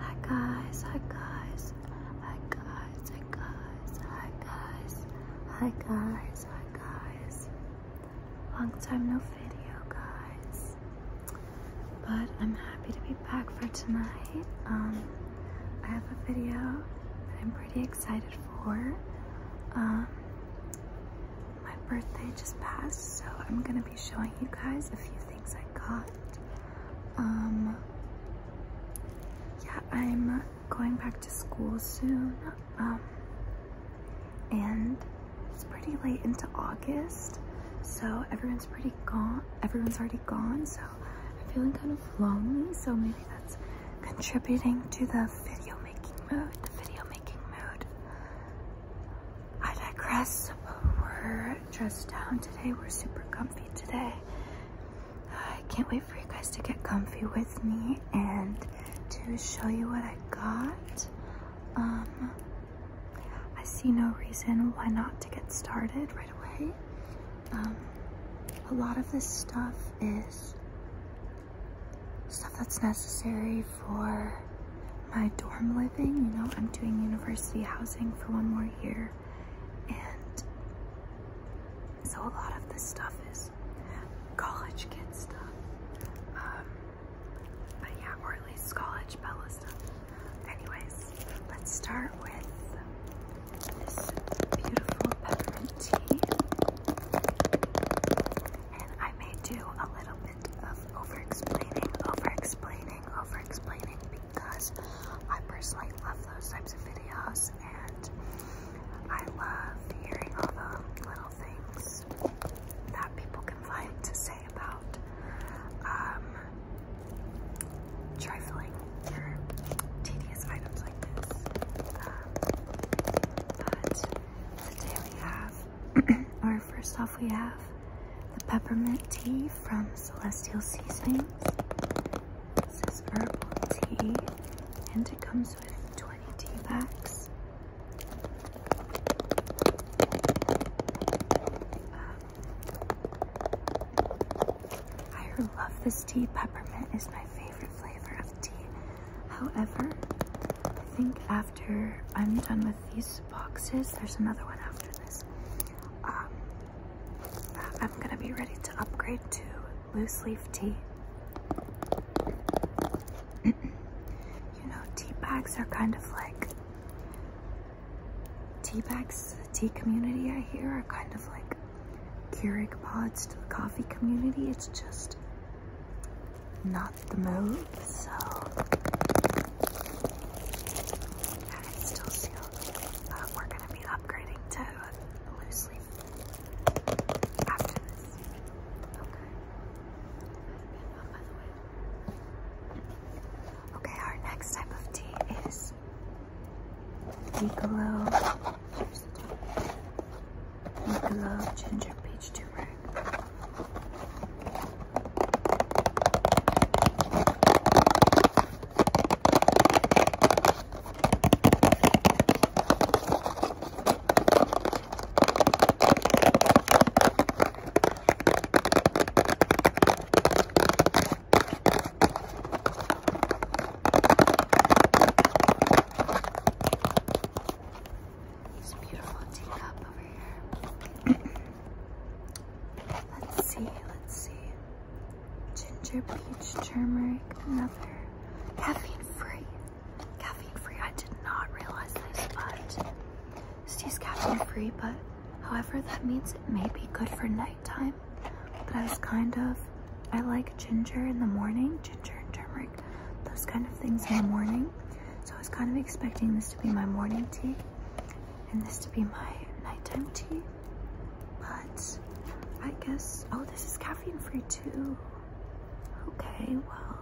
Hi guys, hi guys, hi guys, hi guys, hi guys, hi guys, hi guys. Long time no video guys. But I'm happy to be back for tonight. Um I have a video that I'm pretty excited for. Um my birthday just passed, so I'm gonna be showing you guys a few things I got. Um, yeah, I'm going back to school soon. Um, and it's pretty late into August, so everyone's pretty gone. Everyone's already gone, so I'm feeling kind of lonely. So maybe that's contributing to the video making mood. The video making mood I digress, but we're dressed down today. We're super comfy today. I can't wait for you guys to get comfy with me and to show you what I got. Um, I see no reason why not to get started right away. Um, a lot of this stuff is stuff that's necessary for my dorm living. You know, I'm doing university housing for one more year, and so a lot of this stuff is college kid stuff. Um, but yeah, or at least college Bella stuff. Anyways, let's start with this beautiful peppermint tea. And I may do a little bit of over explaining, over explaining, over explaining because I personally love those types of videos and I love hearing all the little things that people can find to say about um, trifling or tedious items like this. Um, but today we have our store. First off, we have the peppermint tea from Celestial Seasonings. This is herbal tea, and it comes with 20 tea bags. Um, I love this tea. Peppermint is my favorite flavor of tea. However, I think after I'm done with these boxes, there's another one after this. Um, I'm gonna be ready to upgrade to loose leaf tea. you know, tea bags are kind of like tea bags. The tea community I hear are kind of like Keurig pods to the coffee community. It's just not the move so that is still sealed. we're going to be upgrading to loose leaf Okay. Okay, our next type of tea is Piccolo. Piccolo ginger peach turmeric. This beautiful teacup over here. Let's see, let's see. Ginger, peach, turmeric, another. Caffeine free. Caffeine free, I did not realize this, but this tea's caffeine free, but however, that means it may be good for nighttime. But I was kind of, I like ginger in the morning, ginger and turmeric, those kind of things in the morning. So I was kind of expecting this to be my morning tea and this to be my nighttime tea. But I guess, oh, this is caffeine free too. Okay, well,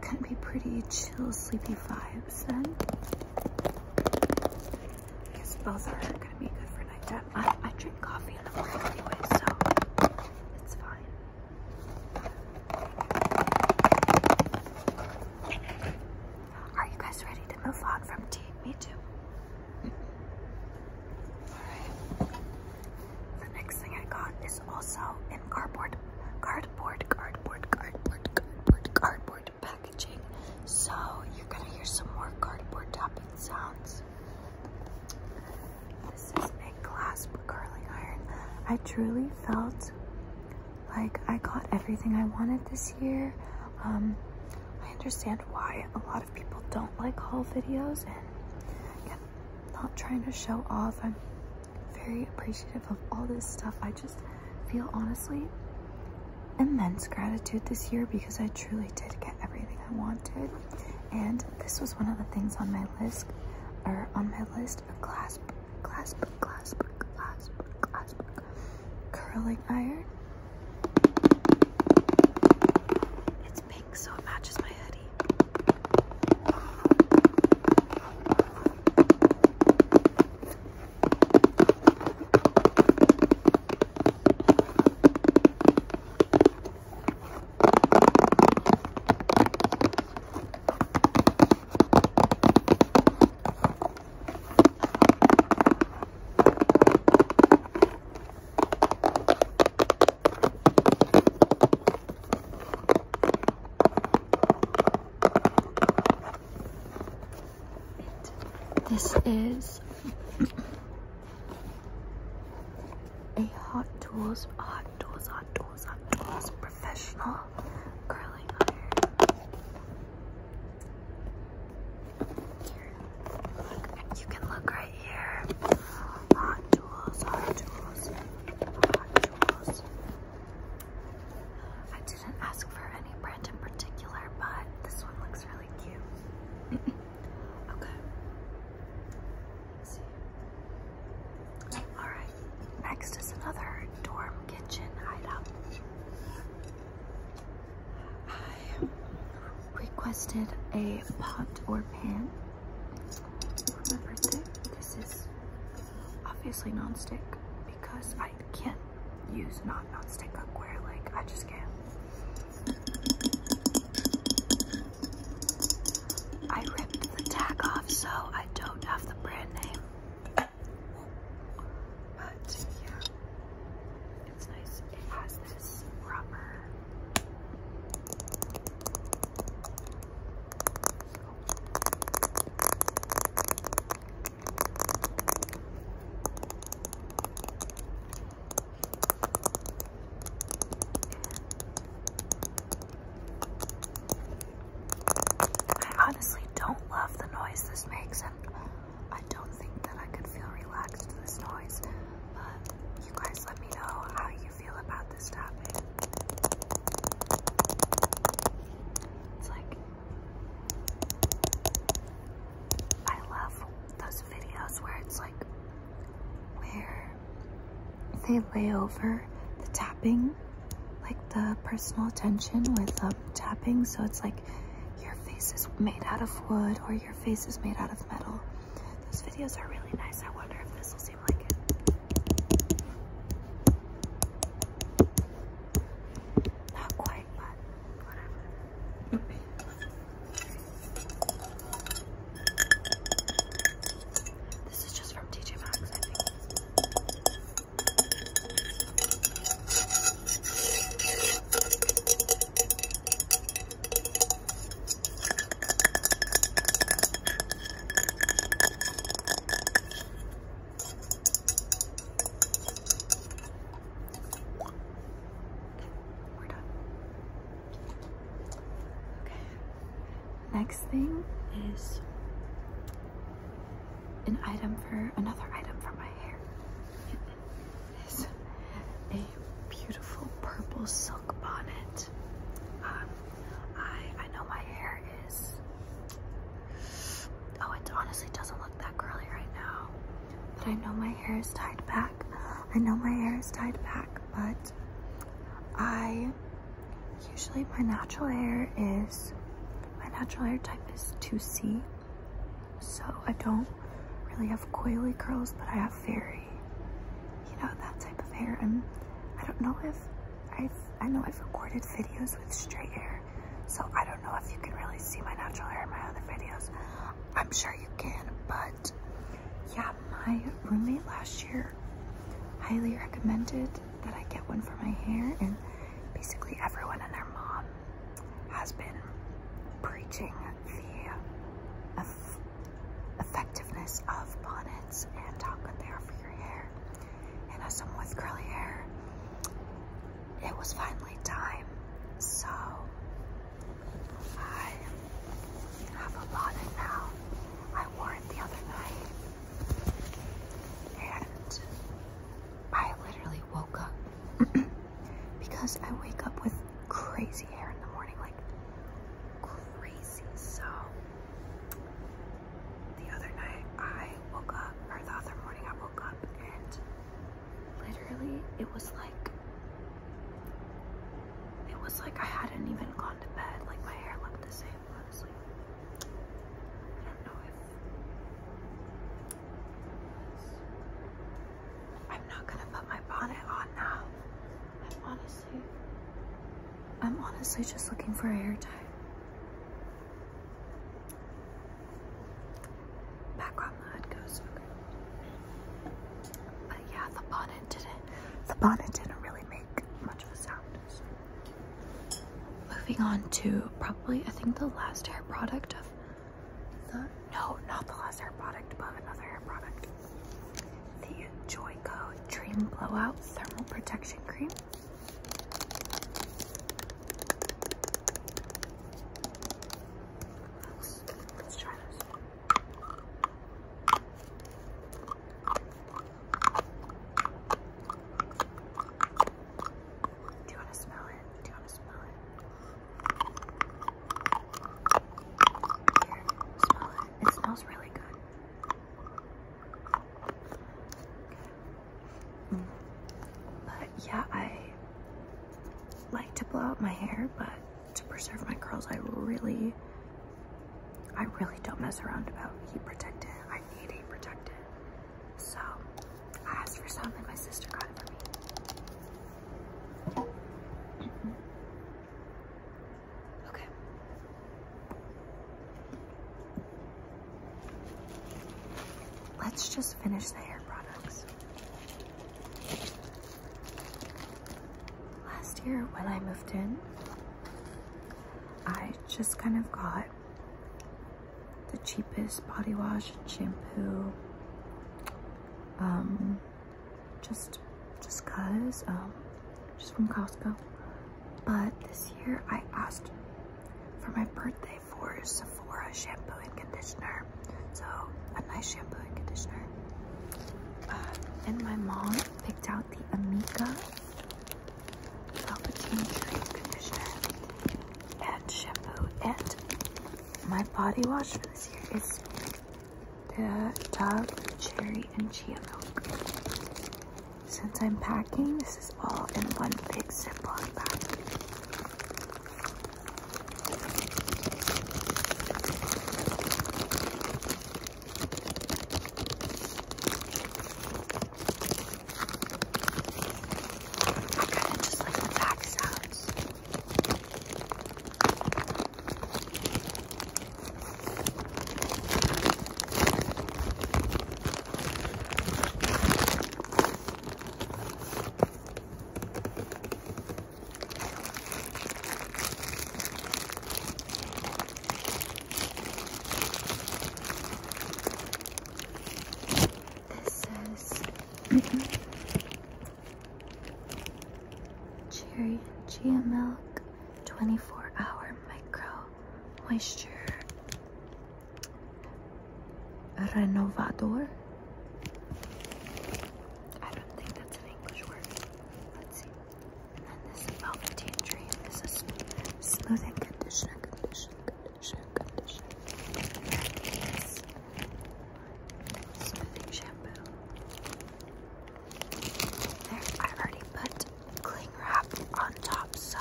can be pretty chill, sleepy vibes then. I guess both are gonna be good for nighttime. I, I drink coffee in the morning anyway, so it's fine. Are you guys ready to move on from tea? Me too. Alright. The next thing I got is also in cardboard, cardboard, cardboard, cardboard, cardboard, packaging. So you're gonna hear some more cardboard tapping sounds. This Big Clasp Curling Iron. I truly felt like I got everything I wanted this year. Um, I understand why a lot of people don't like haul videos and yeah, not trying to show off. I'm very appreciative of all this stuff. I just feel honestly immense gratitude this year because I truly did get everything I wanted. And this was one of the things on my list or on my list of class clasp, clasp, clasp, clasp, curling iron. It's pink, so it matches my hoodie. This is a Hot Tools art hot tools, hot tools, hot tools, professional curling iron. Here, you can look right here. Hot tools, hot tools, hot tools. I didn't ask for any brand in particular, but this one looks really cute. okay. All right, next is another dorm kitchen item. I requested a pot or pan This is obviously non-stick because I can't use non-stick cookware. Like I just can't. I ripped the tag off, so I don't have the brand name. But yeah, it's nice. It has this rubber. I honestly don't love the noise this makes, and I don't think that I could feel relaxed to this noise. But you guys let me know how you feel about this tapping. It's like, I love those videos where it's like, where they lay over the tapping, like the personal attention with um, tapping. So it's like your face is made out of wood or your face is made out of metal. Those videos are really nice. I wonder if this will seem like it. Not quite, but whatever. This is just from TJ Maxx, I think. we're done. Okay. Next thing is an item for another item for my hair. It is a beautiful purple silk bonnet. Um, I I know my hair is oh it honestly doesn't look that curly right now, but I know my hair is tied back. I know my hair is tied back, but I usually my natural hair is my natural hair type is 2C, so I don't really have coily curls, but I have very, you know, that type of hair. And I don't know if I've I know I've recorded videos with straight hair, so I don't know if you can really see my natural hair in my other videos. I'm sure you can, but yeah, my roommate last year highly recommended that I get one for my hair, and basically everyone and their mom has been preaching the eff effectiveness of bonnets and how good they are for your hair. And as someone with curly hair, it was finally time. So I you have a lot in now. I wore it the other night. And I literally woke up because I wake up with crazy hair in the morning, like crazy. So the other night I woke up, or the other morning I woke up, and literally it was like it was like I hadn't even gone to bed. Like my hair looked the same. I am not gonna put my bonnet on now. I'm honestly I'm honestly just looking for a hair tie. Back on But yeah, the bonnet didn't the bonnet didn't really make Moving on to probably, I think the last hair product of the, no, not the last hair product, but another hair product. The Joyco Dream Blowout Thermal Protection Cream. let's try this. Do you want to smell it? Do you want to smell it? smell it. It smells really good. But yeah, I like to blow out my hair, but to preserve my curls, I really I really don't mess around about heat protectant. I need heat protectant. So I asked for something. my sister got it for me. Okay. Let's just finish the hair products last year when I moved in, I just kind of got the cheapest body wash and shampoo. Um, just, just cause, um, just from Costco. But this year I asked for my birthday for Sephora shampoo and conditioner. So a nice shampoo and conditioner. Uh, and my mom picked out out the Amica Velveteen Tree Conditioner and Shampoo. And my body wash for this year is the Dove Cherry and Chia Milk. Since I'm packing, this is all in one big Ziploc bag. Kind of just like the back sounds. This says Cherry Chia Milk 24 Hour Micro Moisture Renovador. I don't think that's an English word. Let's see. And then this Velveteen Dream is a smoothing conditioner, conditioner, conditioner, conditioner. And then smoothing shampoo. There, I already put cling wrap on top so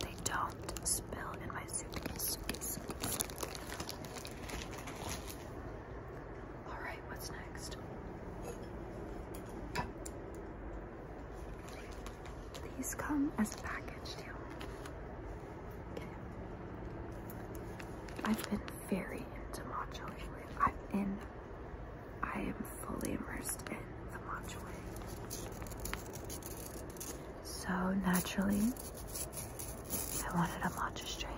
they don't spill in my suitcase. suitcase, suitcase. All right, what's next? These come as a package deal. I've been very into matcha lately. I'm in, I am fully immersed in the matcha way. So naturally, I wanted a matcha strainer.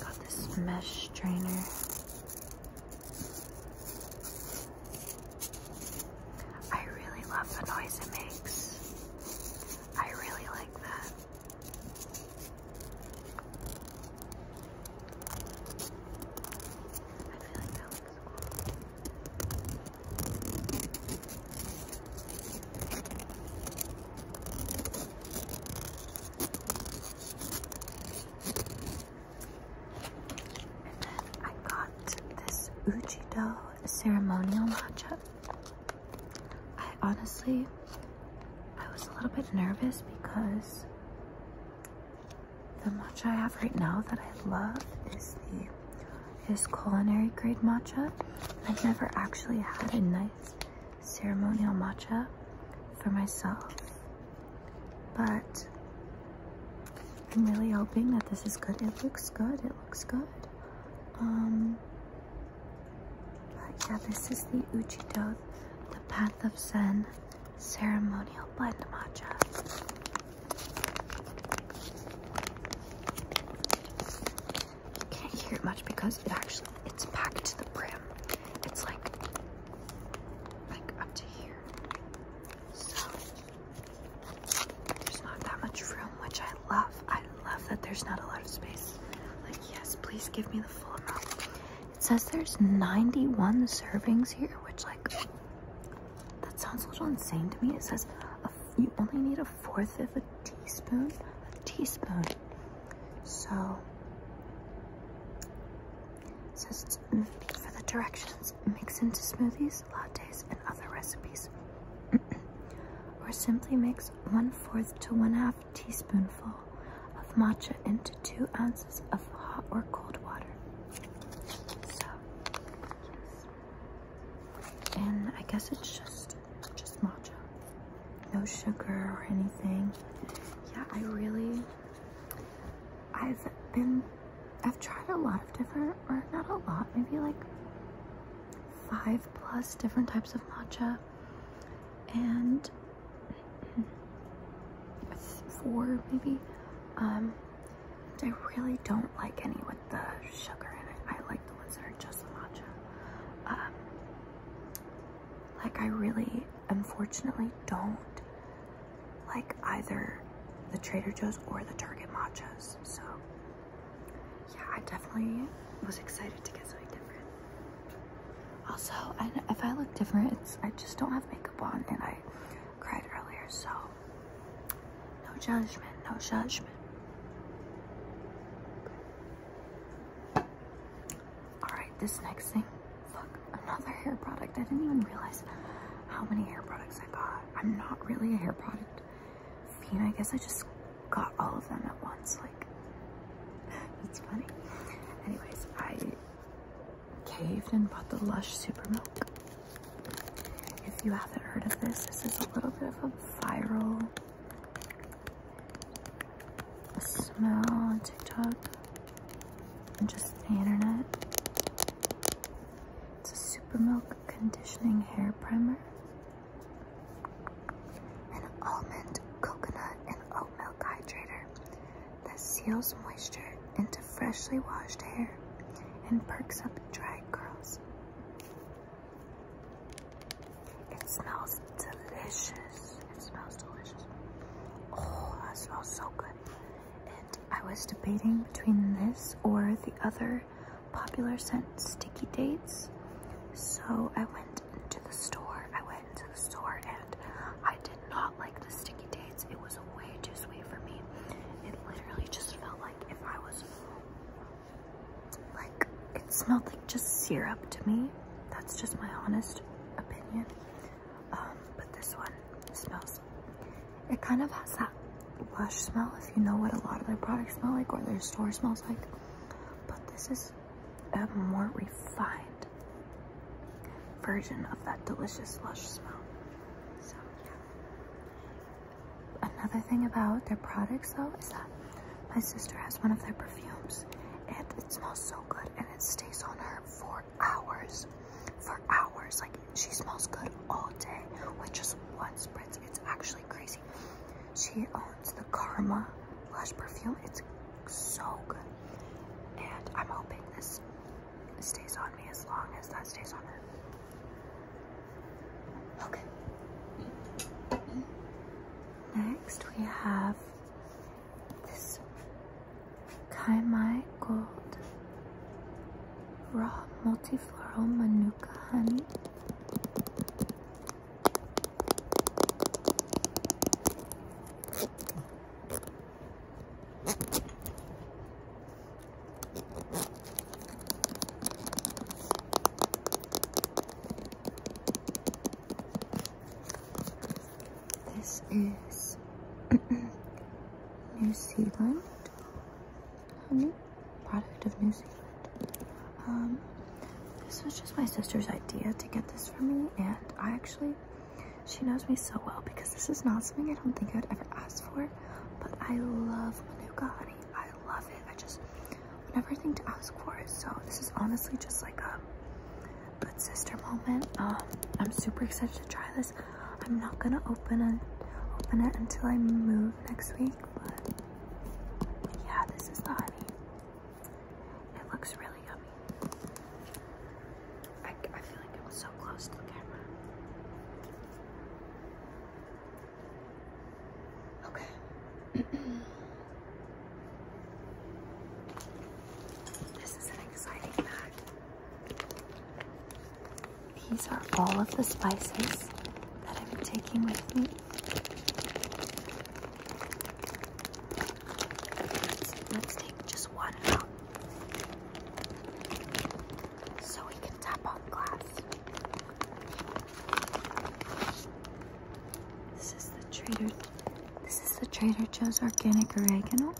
Got this mesh strainer. I really love the noise it makes. I really like that. I feel like that looks cool. And then I got this Uchido ceremonial matcha. I honestly, I was a little bit nervous because the matcha I have right now that I love is the is culinary grade matcha. I've never actually had a nice ceremonial matcha for myself. But I'm really hoping that this is good. It looks good. It looks good. Um, but yeah, this is the Uchido, the Path of Zen ceremonial blend matcha you can't hear it much because it actually it's packed to the brim. It's like like up to here. So there's not that much room, which I love. I love that there's not a lot of space. Like, yes, please give me the full amount. It says there's 91 servings here, which like that sounds a little insane to me. It says you only need a fourth of a teaspoon. A teaspoon. So it for the directions, mix into smoothies, lattes, and other recipes. or simply mix one fourth to one half teaspoonful of matcha into two ounces of hot or cold water. So, and I guess it's just just matcha. No sugar or anything. Yeah, I really, I've been, I've tried a lot of different, or not a lot, maybe like five plus different types of matcha. And four maybe. Um, I really don't like any with the sugar in it. I like the ones that are just matcha. Um, like, I really, unfortunately, don't like either the Trader Joe's or the Target matchas. So, yeah, I definitely was excited to get something different. Also, if I look different, it's I just don't have makeup on and I cried earlier, so no judgment, no judgment. Alright, this next thing. Look, another hair product. I didn't even realize how many hair products I got. I'm not really a hair product fiend. I guess I just got all of them at once. Like, it's funny. Anyways, I caved and bought the Lush Super Milk. If you haven't heard of this, this is a little bit of a viral smell on TikTok and just the internet. It's a super milk conditioning hair primer. An almond, coconut, and oat milk hydrator that seals moisture into freshly washed hair and perks up dry curls. It smells delicious. It smells delicious. Oh, that smells so good. And I was debating between this or the other popular scent, Sticky Dates. So I went to the store. I went into the store and I did not like the Sticky Dates. It was way too sweet for me. It literally just felt like if I was like it smelled like just syrup to me. That's just my honest opinion. Um, but this one smells. It kind of has that lush smell if you know what a lot of their products smell like or their store smells like. But this is a more refined version of that delicious lush smell. So yeah. Another thing about their products though is that my sister has one of their perfumes and it smells so good and it stays on her for hours. For hours. Like she smells good all day with just one spritz. It's actually crazy. She owns the Karma Lush perfume. It's so good. And I'm hoping this stays on me as long as that stays on her. Okay. Next we have this Kaimai Gold Raw Multifloral Manuka Honey. This is New Zealand honey product of New Zealand. Um, this was just my sister's idea to get this for me, and I actually, she knows me so well because this is not something I don't think I'd ever ask for, but I love Manuka honey. I love it. I just, another thing to ask for. So this is honestly just like a good sister moment. Um, I'm super excited to try this. I'm not gonna open it open it until I move next week, but yeah, this is the honey. It looks really yummy. I, I feel like it was so close to the camera. Okay, this is an exciting bag. These are all of the spices that I've been taking with me. Let's, take just one out so we can tap on glass. This is the Trader. This is the Trader Joe's organic oregano.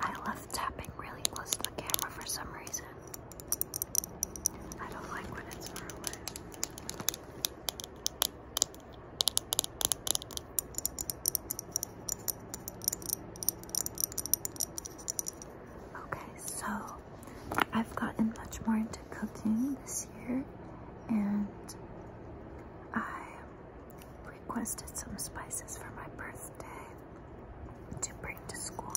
I love tapping really close to the camera for some reason. I don't like when it's far away. Okay, so I've gotten much more into cooking this year, and I requested some spices for my birthday to bring to school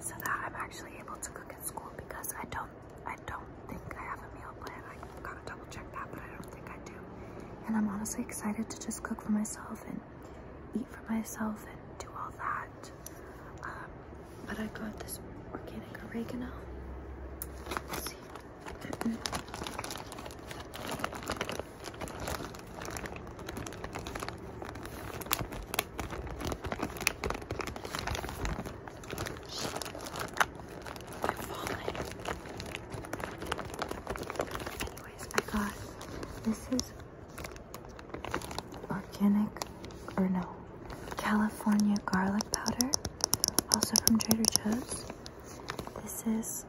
so that I'm actually able to cook at school because I don't I don't think I have a meal plan. I gotta double check that but I don't think I do. And I'm honestly excited to just cook for myself and eat for myself and do all that. Um, but I got this organic oregano. Anyways, I got this is organic or no California garlic powder, also from Trader Joe's. This is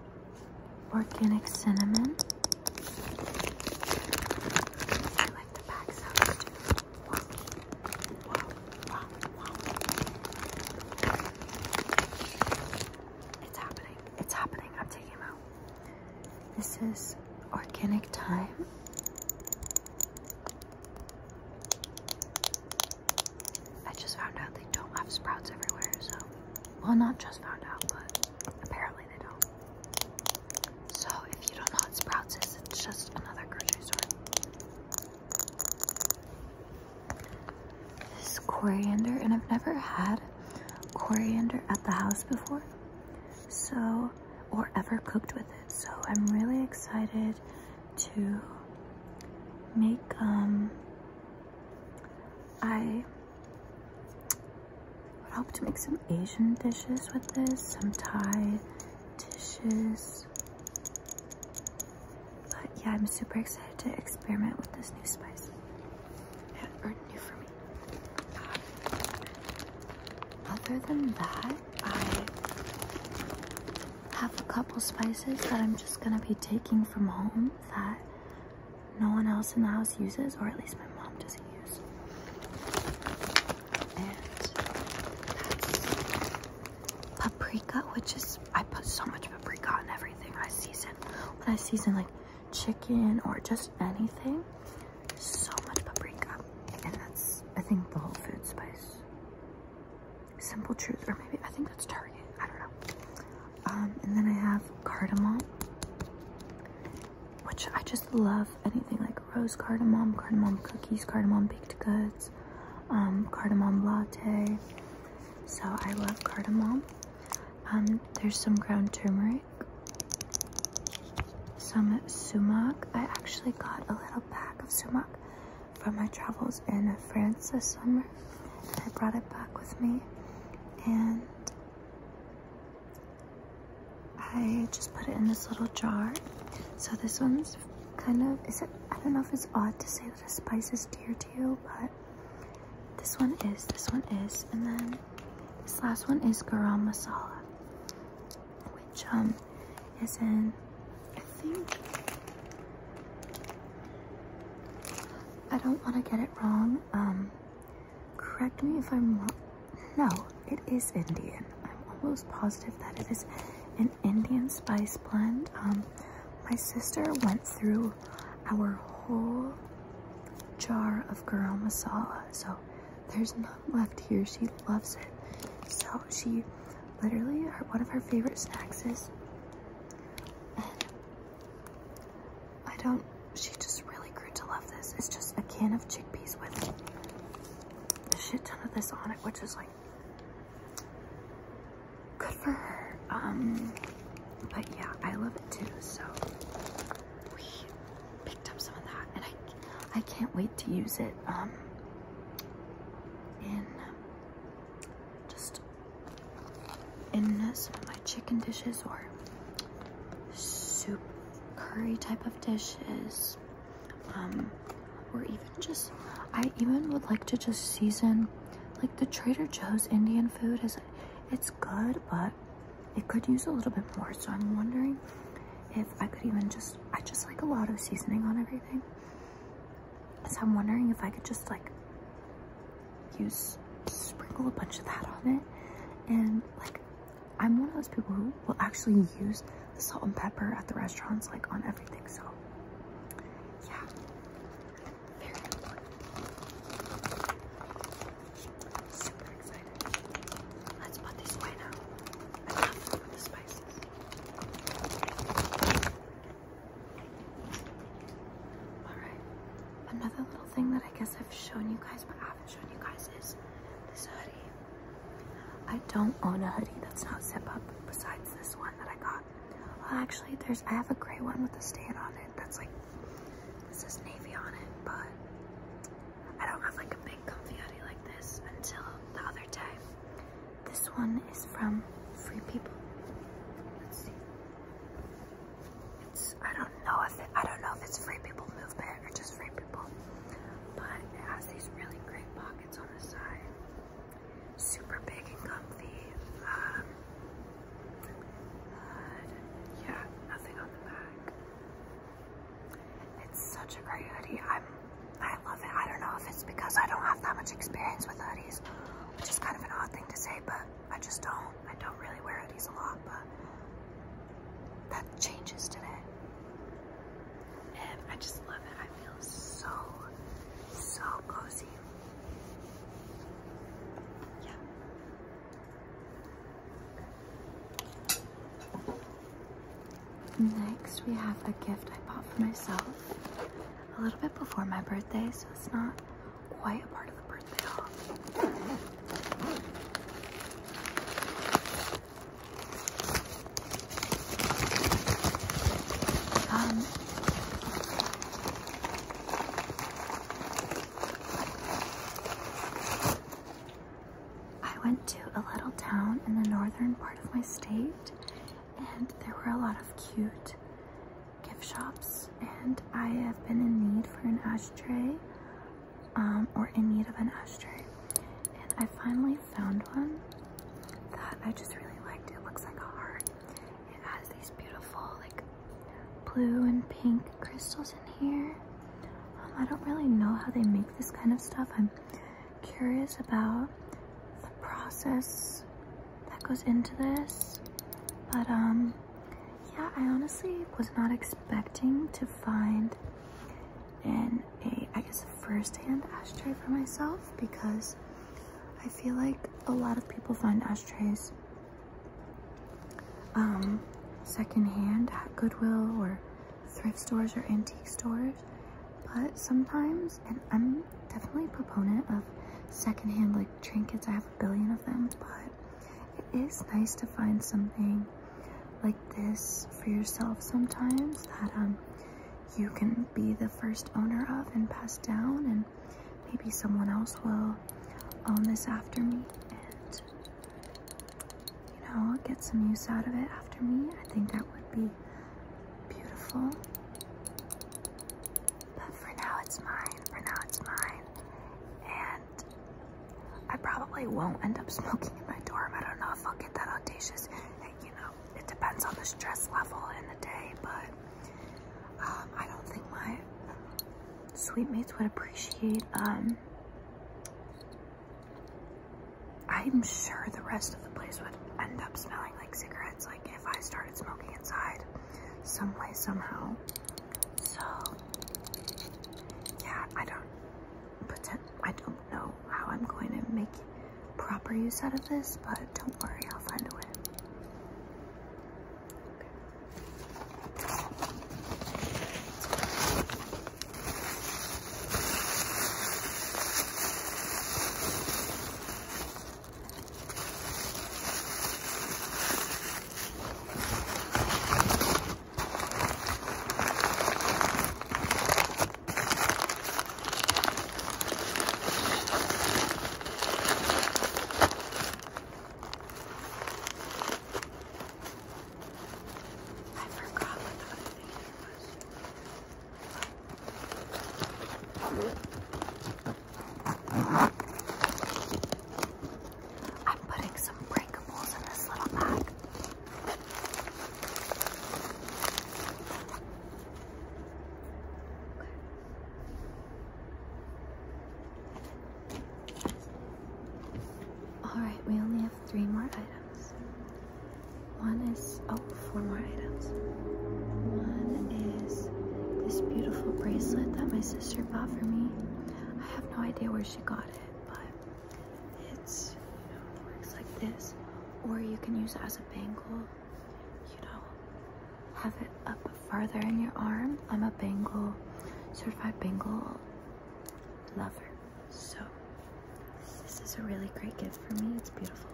organic cinnamon. I like the pack sounds It's happening. It's happening. I'm taking them out. This is organic thyme. I just found out they don't have sprouts everywhere, so. Well, not just found out, but apparently they don't. So, if you don't know what sprouts is, it's just another grocery store. This is coriander, and I've never had coriander at the house before, so, or ever cooked with it. So, I'm really excited to make um I would hope to make some Asian dishes with this, some Thai dishes. But yeah, I'm super excited to experiment with this new spice. Yeah, or new for me. Um, other than that, I have a couple spices that I'm just gonna be taking from home that no one else in the house uses, or at least my mom doesn't use. And paprika, which is, I put so much paprika on everything I season. When I season like chicken or just anything, so much paprika. And that's, I think, the whole food spice. Simple Truth, or maybe I think that's Target. I don't know. Um, and then I have cardamom, which I just love. Anything like rose cardamom, cardamom cookies, cardamom baked goods, um, cardamom latte. So I love cardamom. Um, there's some ground turmeric, some sumac. I actually got a little pack of sumac from my travels in France this summer. And I brought it back with me and I just put it in this little jar. So this one's kind of, is it, I don't know if it's odd to say that a spice is dear to you, but this one is, this one is. And then this last one is garam masala, which um, is in I think I don't want to get it wrong. Um, correct me if I'm wrong. No, it is Indian. I'm almost positive that it is an Indian spice blend. Um, my sister went through our whole jar of garam masala, so there's none left here. She loves it. So she literally, her, one of her favorite snacks is and I don't, she just really grew to love this. It's just a can of chickpeas with a shit ton of this on it, which is like good for her. Um, but yeah, I love it too. So we picked up some of that and I, I can't wait to use it. Um, in just in my chicken dishes or soup curry type of dishes um, or even just I even would like to just season like the Trader Joe's Indian food is it's good but it could use a little bit more so I'm wondering if I could even just I just like a lot of seasoning on everything so I'm wondering if I could just like use sprinkle a bunch of that on it. And like I'm one of those people who will actually use the salt and pepper at the restaurants like on everything. So yeah. Super excited. Let's put this away now. I love the spices. Alright. Another little thing that I guess I've shown you guys but I haven't shown you guys is this hoodie. I don't own a hoodie that's not zip up besides this one that I got. Well actually there's I have a gray one with a stain on it that's like this is navy on it, but I don't have like a big comfy hoodie like this until the other day. This one is from Free People. Let's see. It's I don't know if I don't know if it's Free People Movement or just Free People, but it has these really great pockets on the side. Super big and comfy. Um, yeah, nothing on the back. It's such a great hoodie. I'm I love it. I don't know if it's because I don't have that much experience with hoodies which is kind of an odd thing to say, but I just don't. I don't really wear these a lot, but that changes today. And I just love it. I feel so, so cozy. Yeah. Next, we have a gift I bought for myself a little bit before my birthday, so it's not quite a part of the birthday haul. Um, I went to a little town in the northern part of my state and there were a lot of cute gift shops and I have been in need for an ashtray um, or in need of an ashtray and I finally found one that I just really liked. It looks like a heart. It has these beautiful like blue and pink crystals in here. Um, I don't really know how they make this kind of stuff. I'm curious about the process that goes into this. But um yeah, I honestly was not expecting to find in a I guess first-hand ashtray for myself because I feel like a lot of people find ashtrays um secondhand at Goodwill or thrift stores or antique stores. But sometimes and I'm I'm definitely a proponent of secondhand like trinkets. I have a billion of them, but it is nice to find something like this for yourself sometimes that um you can be the first owner of and pass down and maybe someone else will own this after me and you know get some use out of it after me i think that would be beautiful. But for now it's mine. For now it's mine. And I probably won't end up smoking in my dorm. I don't know if I'll get that audacious. And, eh, you know, it depends on the stress level in the day, but um, I don't think my sweet would appreciate um, I'm sure the rest of the place would end up smelling like cigarettes. Like if I start started smoking inside some way, somehow. So, yeah, I don't, pretend, I don't know how I'm going to make proper use out of this, but don't worry, I'll find a way. I forgot what the other thing was. I'm putting some breakables in this little bag. All right, we only have three more items. One is, oh, four more items. One is this beautiful bracelet that my sister bought for me. I have no idea where she got it, but it's, you know, works like this. Or you can use it as a bangle, you know, have it up farther in your arm. I'm a bangle, certified bangle lover. So this is a really great gift for me. It's beautiful.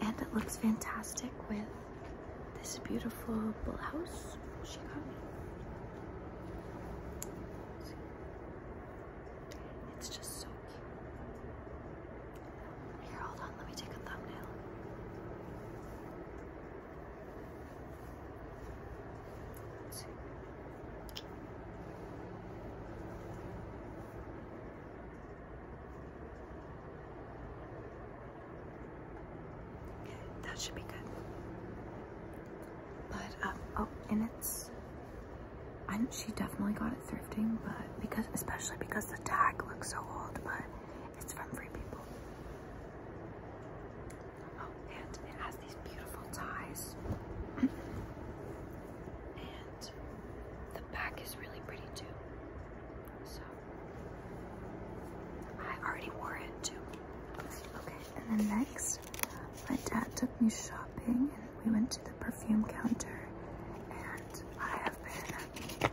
And it looks fantastic with this beautiful blouse she got me. It's just so cute. Here, hold on, let me take a thumbnail. Let's that should be good. But um, oh, and it's. I she definitely got it thrifting, but because especially because the tag looks so old, but it's from Free People. Oh, and it has these beautiful ties. the back is really pretty too. So I already wore it too. Okay, and then next, my dad took me shopping and we went to the perfume counter and I have been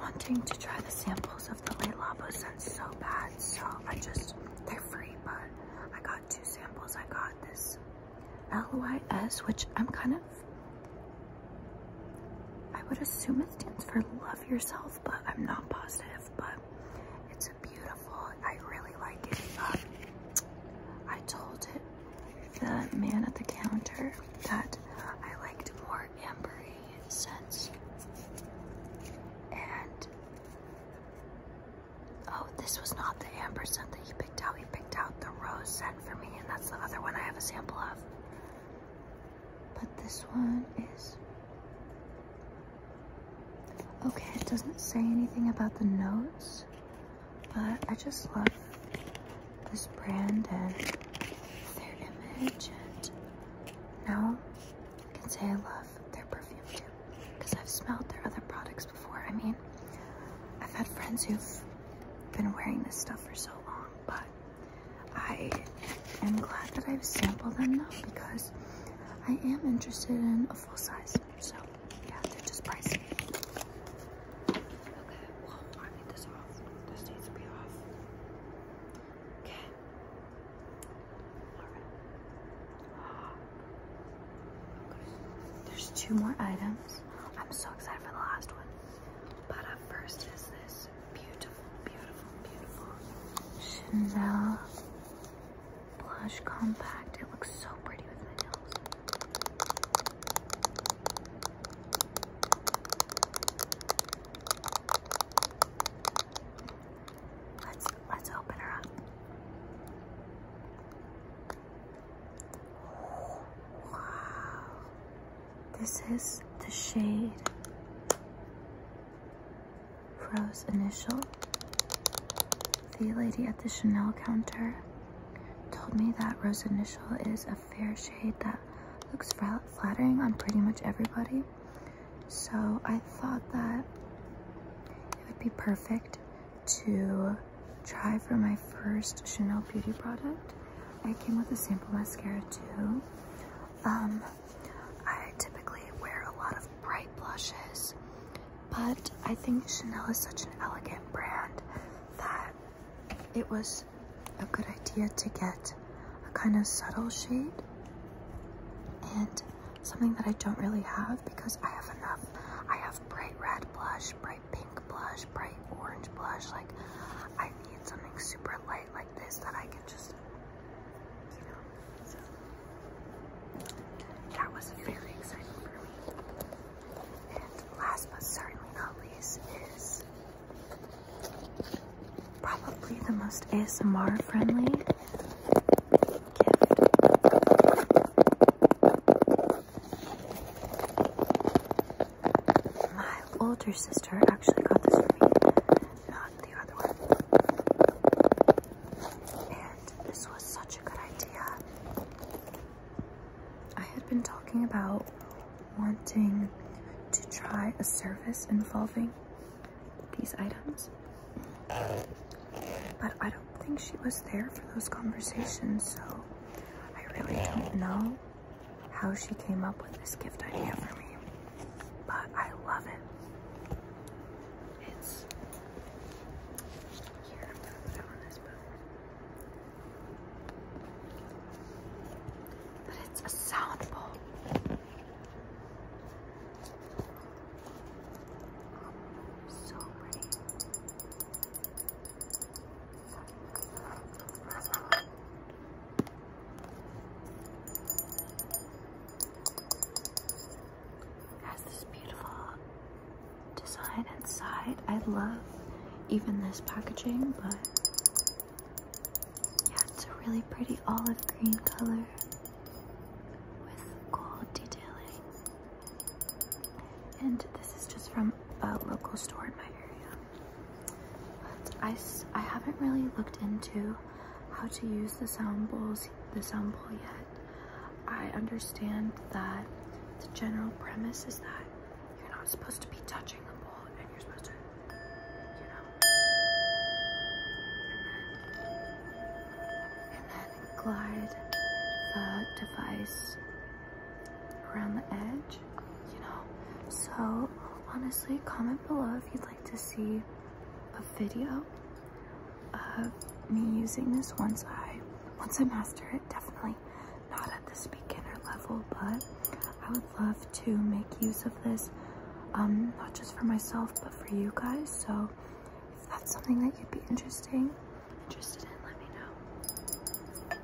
wanting to try the samples of the Le Labo scents so bad. So I just, they're free, but I got two samples. I got this L-Y-S, which I'm kind of, I would assume it stands for love yourself, but I'm not positive, but it's a beautiful, I really like it. Um, I told it, the man at the counter that I liked more ambery scents, and Oh, this was not the amber scent that you picked out. You picked out the rose scent for me, and that's the other one I have a sample of. But this one is... Okay, it doesn't say anything about the notes, but I just love this brand and their image, and now I can say I love their perfume too because I've smelled their other products before. I mean, I've had friends who've been wearing this stuff for so long, but I am glad that I've sampled them now because I am interested in a full size. So yeah, they're just pricey. Okay, well, I need this off. This needs to be off. Okay. Alright. Ah. There's two more items. I'm so excited for the last one. But first is this beautiful, beautiful, beautiful Chanel blush compact. It looks so pretty with my nails. Let's let's open her up. Wow. This is the shade Rose Initial. The lady at the Chanel counter told me that Rose Initial is a fair shade that looks flattering on pretty much everybody. So I thought that it would be perfect to try for my first Chanel beauty product. I came with a sample mascara too. Um, I typically wear a lot of bright blushes, but I think Chanel is such an elegant brand that it was a good idea to get a kind of subtle shade and something that I don't really have because I have enough. I have bright red blush, bright pink blush, bright orange blush. Like, I need something super light like this that I can just, you know. So, that was very exciting for me. And last but certainly not least is probably the most ASMR friendly gift. My older sister actually got this for me, not the other one. And this was such a good idea. I had been talking about wanting to try a service involving these items. But I don't think she was there for those conversations, so I really don't know how she came up with this gift idea for me. But I love it. It's here, put it on this book. But it's a sound bowl. So pretty. Has this beautiful design inside. I love even this packaging, but yeah, it's a really pretty olive green color with gold detailing. And this is just from a local store in my area. I, I haven't really looked into how to use the sound bowls, the sound bowl yet. I understand that the general premise is that you're not supposed to be touching the bowl and you're supposed to, you know glide the device around the edge, you know? So honestly, comment below if you'd like to see a video of me using this once I, once I master it, definitely not at this beginner level, but I would love to make use of this, um, not just for myself, but for you guys. So if that's something that you'd be interesting, interested in, let me know.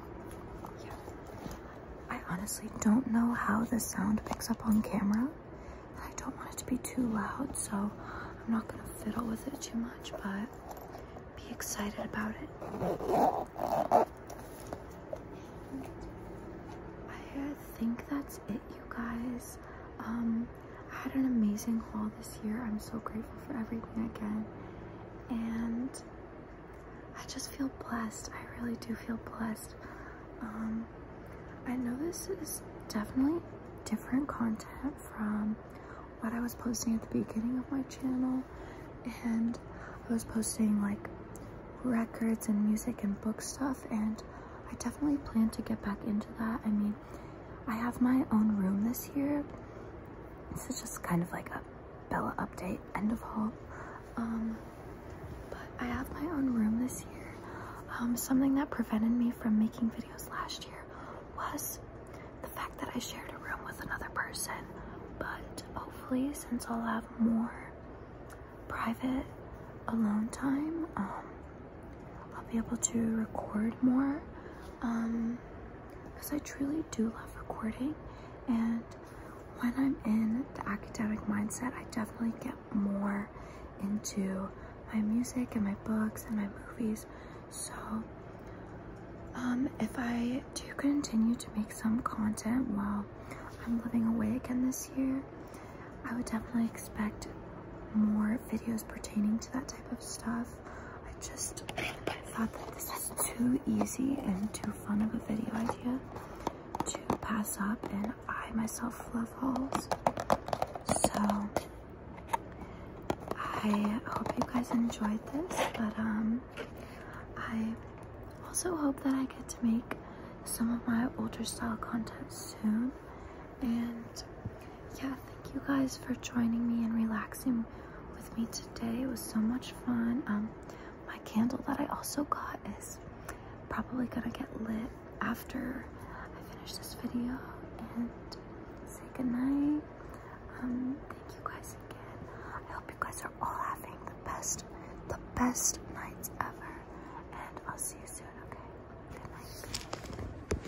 I honestly don't know how the sound picks up on camera. I don't want it to be too loud, so I'm not gonna fiddle with it too much, but be excited about it. I think that's it, you guys. Um, I had an amazing haul this year. I'm so grateful for everything again. And I just feel blessed. I really do feel blessed. Um, I know this is definitely different content from what I was posting at the beginning of my channel. And I was posting like records and music and book stuff. And I definitely plan to get back into that. I mean, I have my own room this year. This is just kind of like a Bella update, end of haul. Um, but I have my own room this year. Um, something that prevented me from making videos last year was the fact that I shared a room with another person. But hopefully, since I'll have more private alone time, um, I'll be able to record more because um, I truly do love recording and when I'm in the academic mindset I definitely get more into my music and my books and my movies so um, if I do continue to make some content while I'm living away again this year I would definitely expect more videos pertaining to that type of stuff I just thought that this was too easy and too fun of a video idea to pass up, and I myself love hauls. So I hope you guys enjoyed this, but um, I also hope that I get to make some of my older style content soon, and yeah, thank you guys for joining me and relaxing with me today. It was so much fun. Um, my candle that I also got is probably gonna get lit after I finish this video and say goodnight. Um, thank you guys again. I hope you guys are all having the best, the best nights ever. And I'll see you soon, okay? Good night.